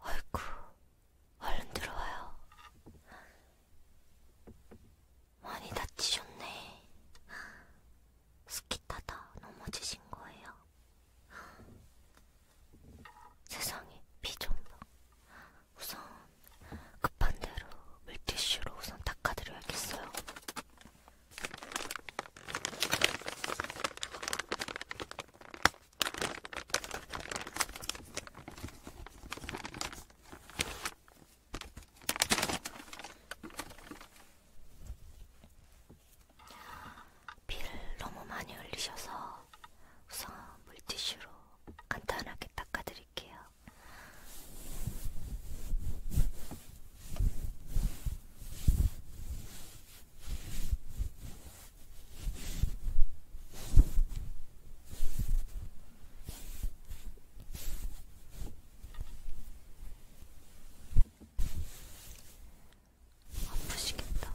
아이쿠, 얼른 들어와요. 많이 다치셨네. 스키 타다 넘어지신 거예요. 세상에, 비좀 봐. 우선 급한 대로 물티슈로 우선 닦아드려야겠어요. 피를 너무 많이 흘리셔서 우선 물티슈로 간단하게 닦아드릴게요. 아프시겠다.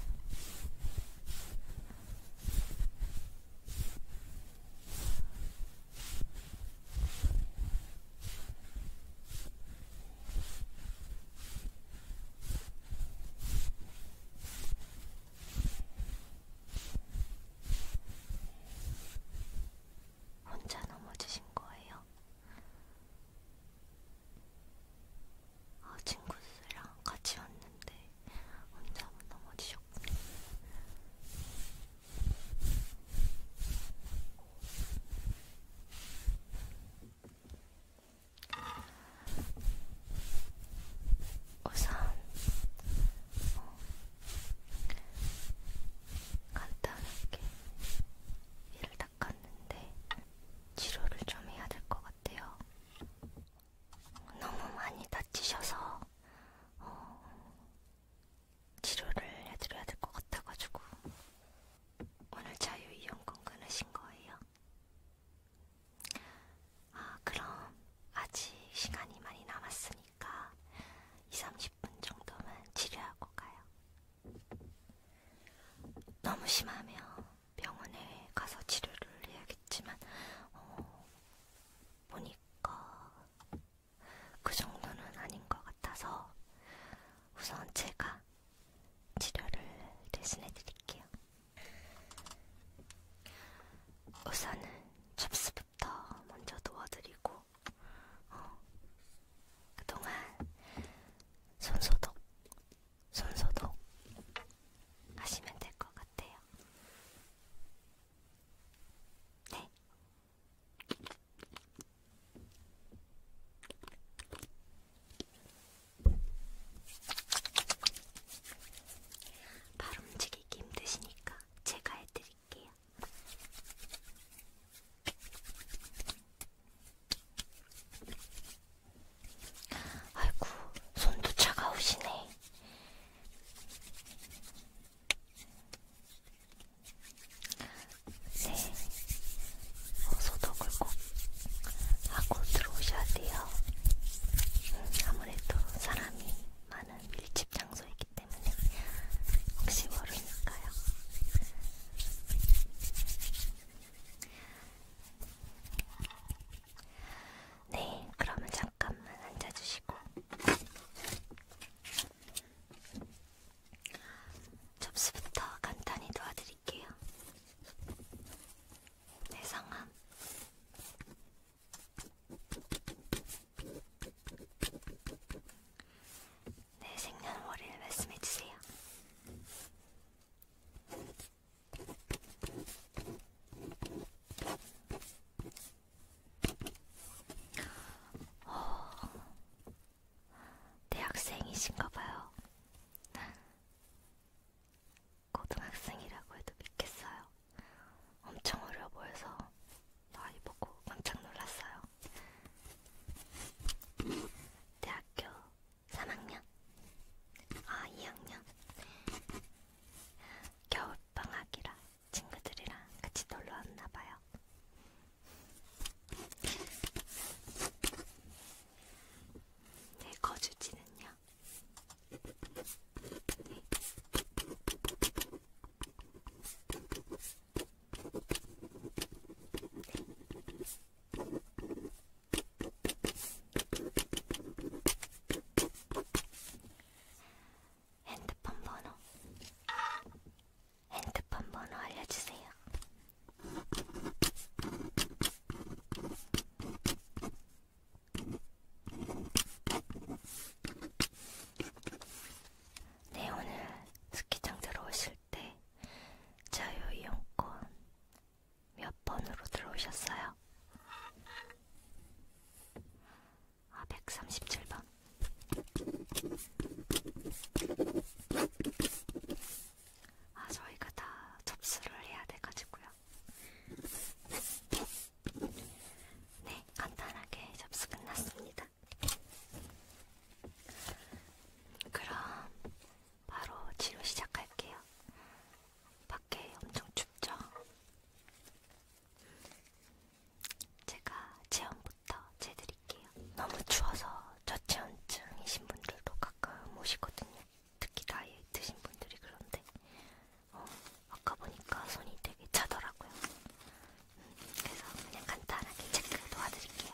혼자 넘어지신 거예요? 어, 친구들이랑 같이 왔는데 혼자 넘어지셨군요. 우선 어, 간단하게 이를 닦았는데 치료를 좀 해야 될 것 같아요. 너무 많이 다치셔서 어, 치료를 해드려야 될 것 같아가지고 오늘 자유이용권 끊으신 거예요? 아 그럼 아직 시간이 많이 남았으니까 2-30분 정도만 치료하고 가요. 너무 심하면 병원에 가서 치료를 해야겠지만 어, 보니까 그 정도는 아닌 것 같아서 우선 제가 치료를 대신해 드릴게요. 우선은 접수부터 먼저 도와드리고 어, 그동안 손소독 손소독 하시면 될 것 같아요. 네. 발 움직이기 힘드시니까 제가 해드릴게요. 아이고, 손도 차가우시네. 네, 어, 소독을 꼭 하고 들어오셔야 돼요. 음, 아무래도 사람이 많은 밀집 장소이기 때문에 혹시 모르니까요. 네, 그러면 잠깐만 앉아주시고. 접수부터 간단히 도와드릴게요. 내 네, 성함. 내 네, 생년월일 말씀해주세요. 어, 대학생이신가봐요. 고등학생이라고 해도 믿겠어요. 엄청 어려 보여서 나이 보고 깜짝 놀랐어요. 대학교 3학년? 아, 2학년? 겨울방학이라 친구들이랑 같이 놀러 왔나봐요. 제 네, 거주지는요? 네. 네. 핸드폰 번호 핸드폰 번호 알려주세요. 네 오늘 스키장 들어오실 때 자유이용권 몇 번으로 들어오셨어요? 아, 137번. 아, 저희가 다 접수를 해야 돼가지고요. 네, 간단하게 접수 끝났습니다. 그럼 바로 치료 시작할게요. 밖에 엄청 춥죠? 제가 체온부터 재드릴게요. 너무 추워서 저체온증이신 분들도 가끔 오시거든요. 특히 나이 드신 분들이 그런데 어, 아까 보니까 손이 되게 차더라고요. 음, 그래서 그냥 간단하게 체크 도와드릴게요.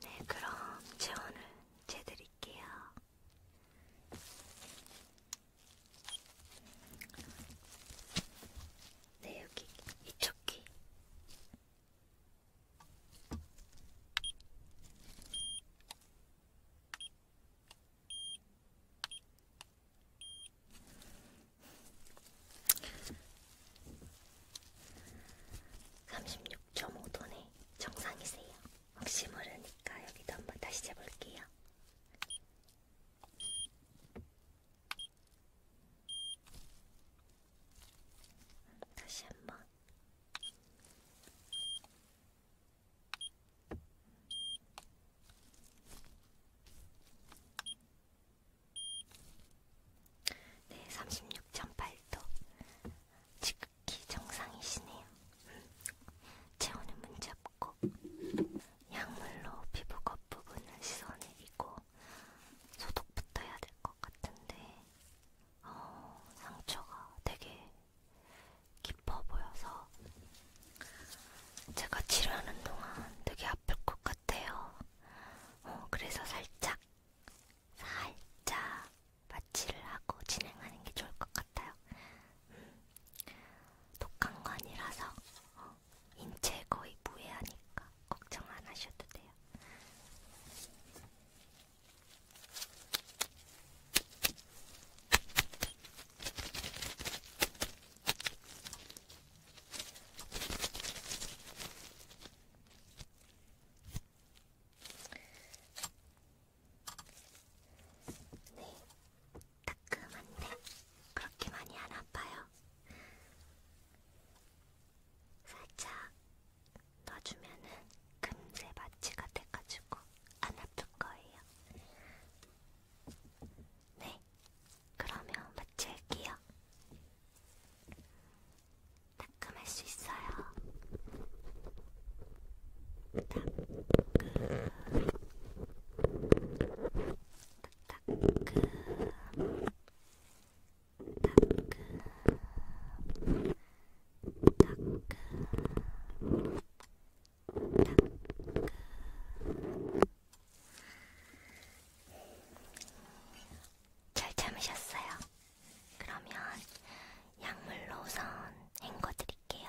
네, 그럼 체온을 재드릴게요. 네, 여기 이쪽 귀. 삼십육점오 도네 정상이세요. 혹시 모르니까 여기도 한번 다시 재볼게요. 다시 한번 네, 36.8도 지극히 정상이시네요. 체온은 음, 문제 흡고 약물로 피부 겉부분을 씻어내리고 소독부터 해야 될 것 같은데 어, 상처가 되게 깊어 보여서 제가 치료하는 동안 되게 아플 것 같아요. 어, 그래서 살짝 살짝 마취를 하고 진행하는 게 좋을 것 같아요. 음, 독감관이라서 어, 인체 거의 무해하니까 걱정 안 하셔도 돼요. 네, 따끔한데 그렇게 많이 안 아파요. 살짝 넣어주면은 금세 마취가 돼가지고 안 아플 거예요. 네, 그러면 마칠게요. 따끔할 수 있어요. 따끔. 따끔 따끔 따끔 따끔 잘 참으셨어요? 그러면 약물로 우선 헹궈 드릴게요.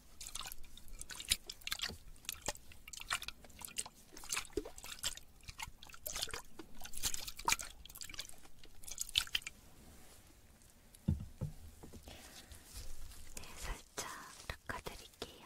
네, 살짝 닦아드릴게요.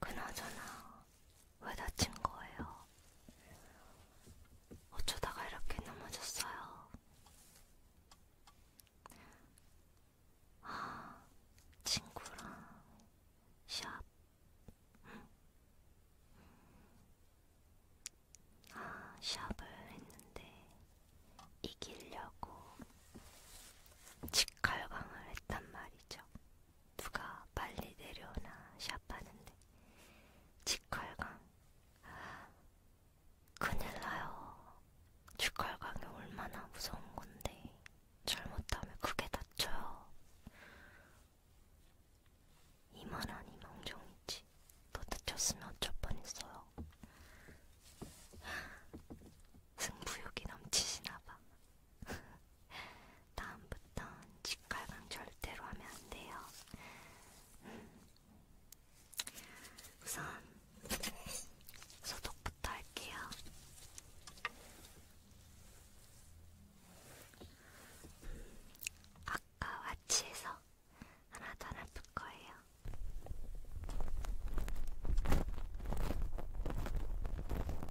그나저나 왜 다친 거예요? 어쩌다가 이렇게 넘어졌어요? 아, 친구랑 샵. 아, 샵을 했는데 이기려고 직갈강을 했단 말이죠. 누가 빨리 내려오나 샵하는데 직활강 큰일 나요. 직활강이 얼마나 무서운 건데 잘못하면 크게 다쳐요. 이만한 이망정이지. 더 다쳤으면 어쩔 뻔했어요. 승부욕이 넘치시나봐. 다음부턴 직갈강 절대로 하면 안 돼요. 우선 소독부터 할게요. 아까 와치에서 하나 더 나쁠 거예요.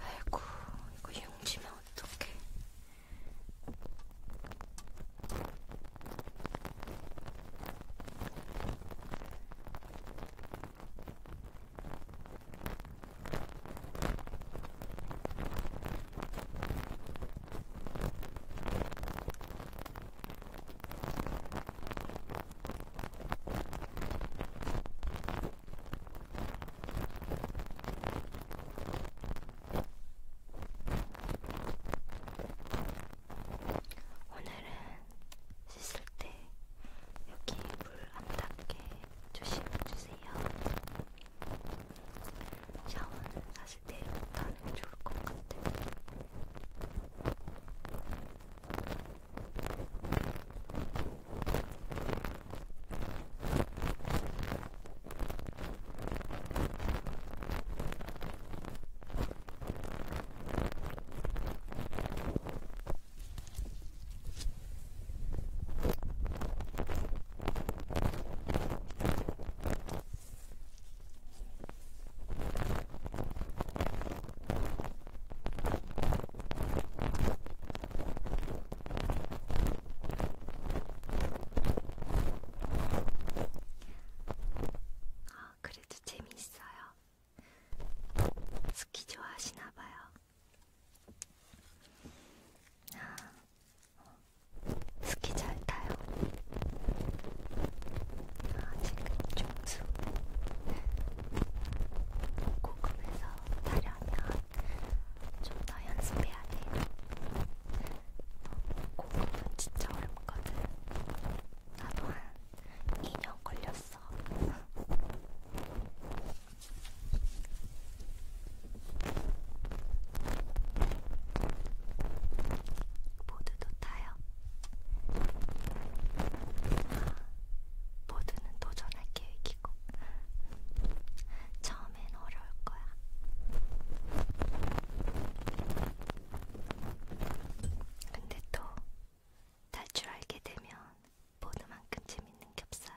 아이고, 이거 융지면 어떡해. 오늘은 씻을 때 여기 물 안 닿게 조심해주세요. 샤워는 사실 내일부터 네, 하면 좋을 것 같아요. 아, 아, 그래도 재미있어요. 스키 좋아하시나봐요. 아, 스키 잘 타요. 아, 지금 중수 고금에서 타려면 좀 더 연습해야 돼요. 어, 고금은 진짜 어렵거든. 나도 한 2년 걸렸어. 보드도 타요. 보드는 도전할 계획이고 처음엔 어려울 거야. 근데 또 탈출하게 되면 보드만큼 재밌는 게 없어요.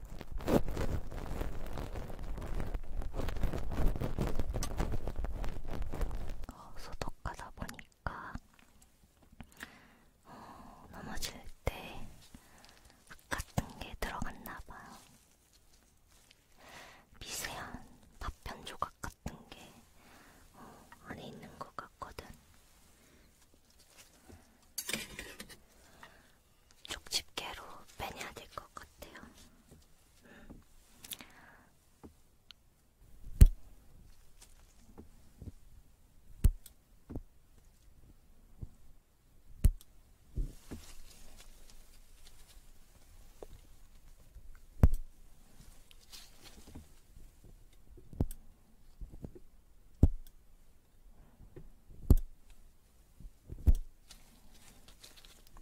어, 소독하다 보니까 어, 넘어질 때 같은 게 들어갔나 봐요. 미세한 파편 조각 같은 게 어, 안에 있는 것 같거든. 쪽집게로 빼내야 될 것 같아요.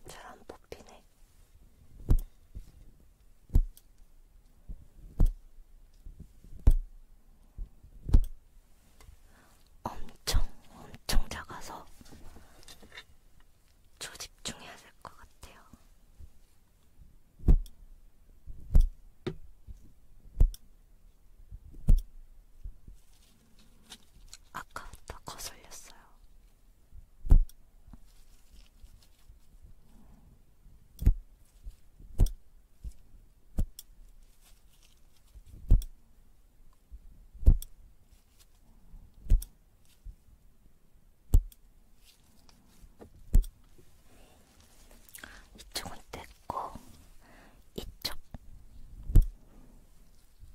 잘안 뽑히네. 엄청 엄청 작아서 조집중해야 될 것 같아요. 아까부터 거슬렸어요. 이쪽은 뗐고 이쪽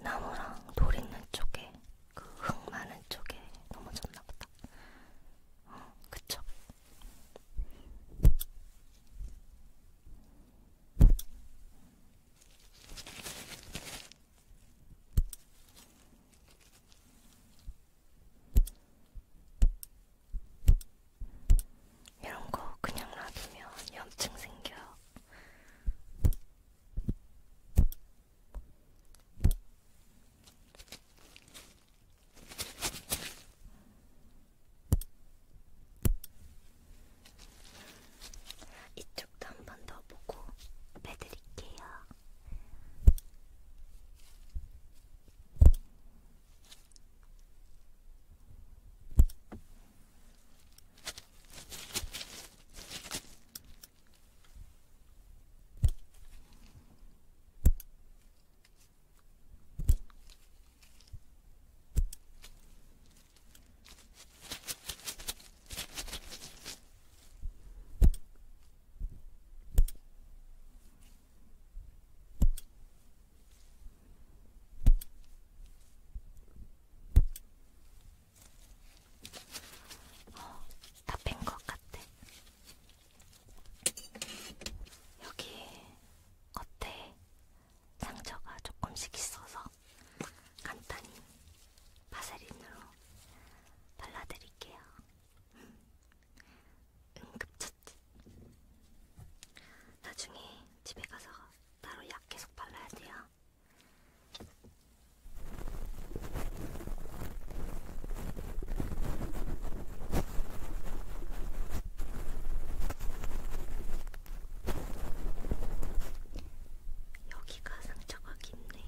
나무랑 돌 있는 쪽에 그 흙 많은 쪽에 넘어졌나 보다. 어, 그쵸? 이런 거 그냥 놔두면 염증 생겨요. 이쪽도 한번 더 보고 빼드릴게요. 어, 다뺀 것 같아. 여기 겉에 상처가 조금씩 있어서 간단히 파세린으로 발라드릴게요. 응급처치. 음. 음, 나중에 집에 가서 따로 약 계속 발라야 돼요. 여기가 상처가 깊네.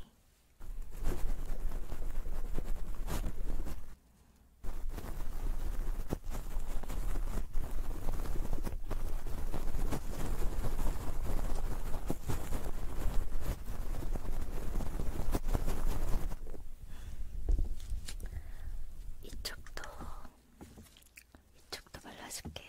이쪽도 이쪽도 발라줄게요.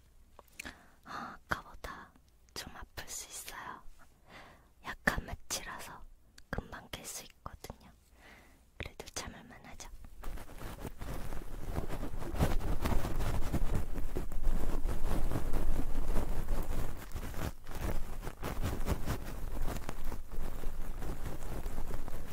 아, 아까보다 좀 아플 수 있어요. 약한 매치라서 금방 깰 수 있거든요. 그래도 참을만 하죠.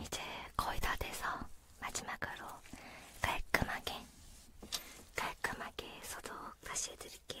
이제 거의 다 돼서 마지막으로 깔끔하게 깔끔하게 소독 다시 해드릴게요.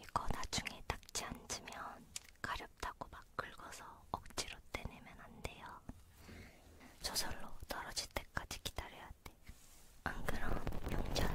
이거 나중에 딱지 앉으면 가렵다고 막 긁어서 억지로 떼내면 안 돼요. 저절로 떨어질 때까지 기다려야 돼. 안 그럼 용자요.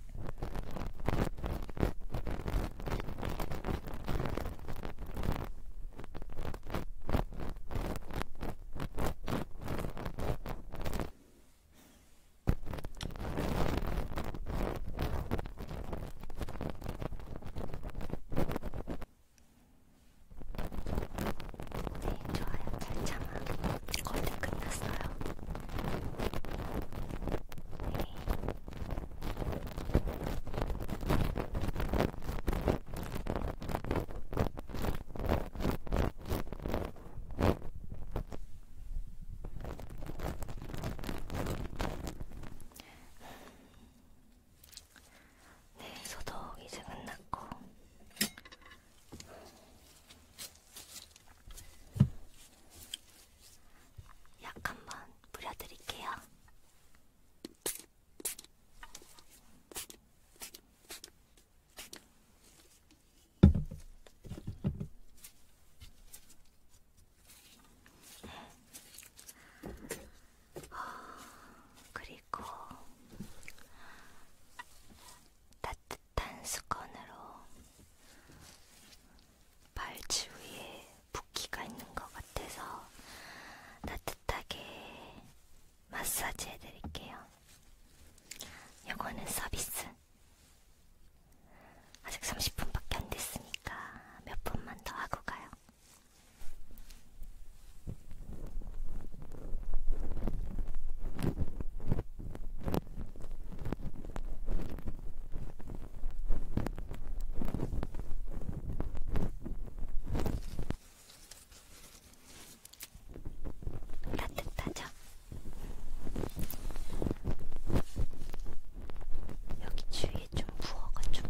네, 좋아요. 잘 참아. 거의 다 끝났어요. 네. 네, 소독 이제 끝났고 약 한번 뿌려드릴게요. 어, 그리고 따뜻한 수건으로 발치위에 붓기가 있는 것 같아서 따뜻하게 마사지 해드릴게요. 요거는 서비스. 아직 30분밖에 안 됐으니까 몇 분만 더 하고 가요. 따뜻하죠? 여기 주위에 좀 부어가지고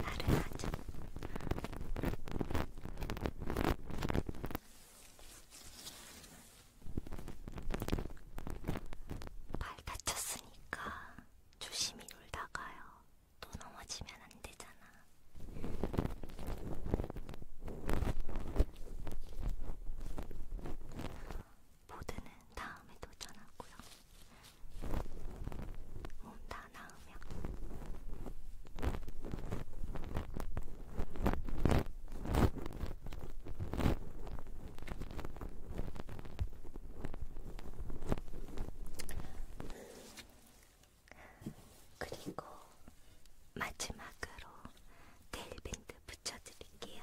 나른하죠? 발 다쳤으니까 조심히 놀다 가요. 또 넘어지면 안 되잖아. 보드는 다음에 도전하고요. 몸 다 나으면. 그리고 마지막으로 테일밴드 붙여드릴게요.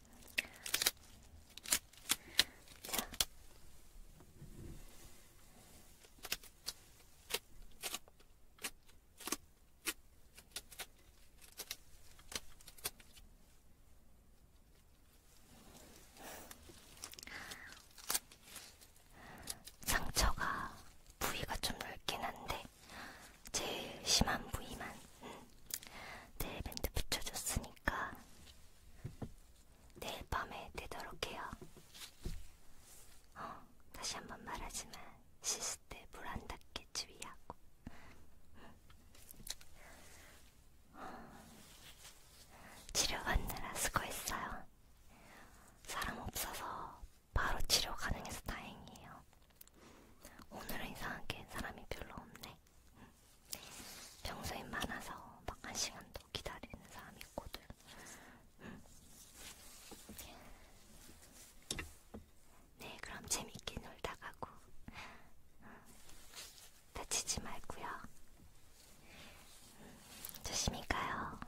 자. 상처가 부위가 좀 넓긴 한데 제일 심한 부위만 젤밴드 음, 붙여줬으니까 내일 밤에 되도록 해요. 어, 다시 한 번 말하지만 씻을 때 물안 닿게 주의하고. 음. 어, 치료 받느라 수고했어요. 사람 없어서 바로 치료 가능해서 다행이에요. 오늘은 이상하게 사람이 별로 없네. 평소엔 많아서 막 한 시간도 기다리는 사람이 있거든. 네, 그럼 재밌게 놀다 가고 다치지 말고요. 조심히 가요.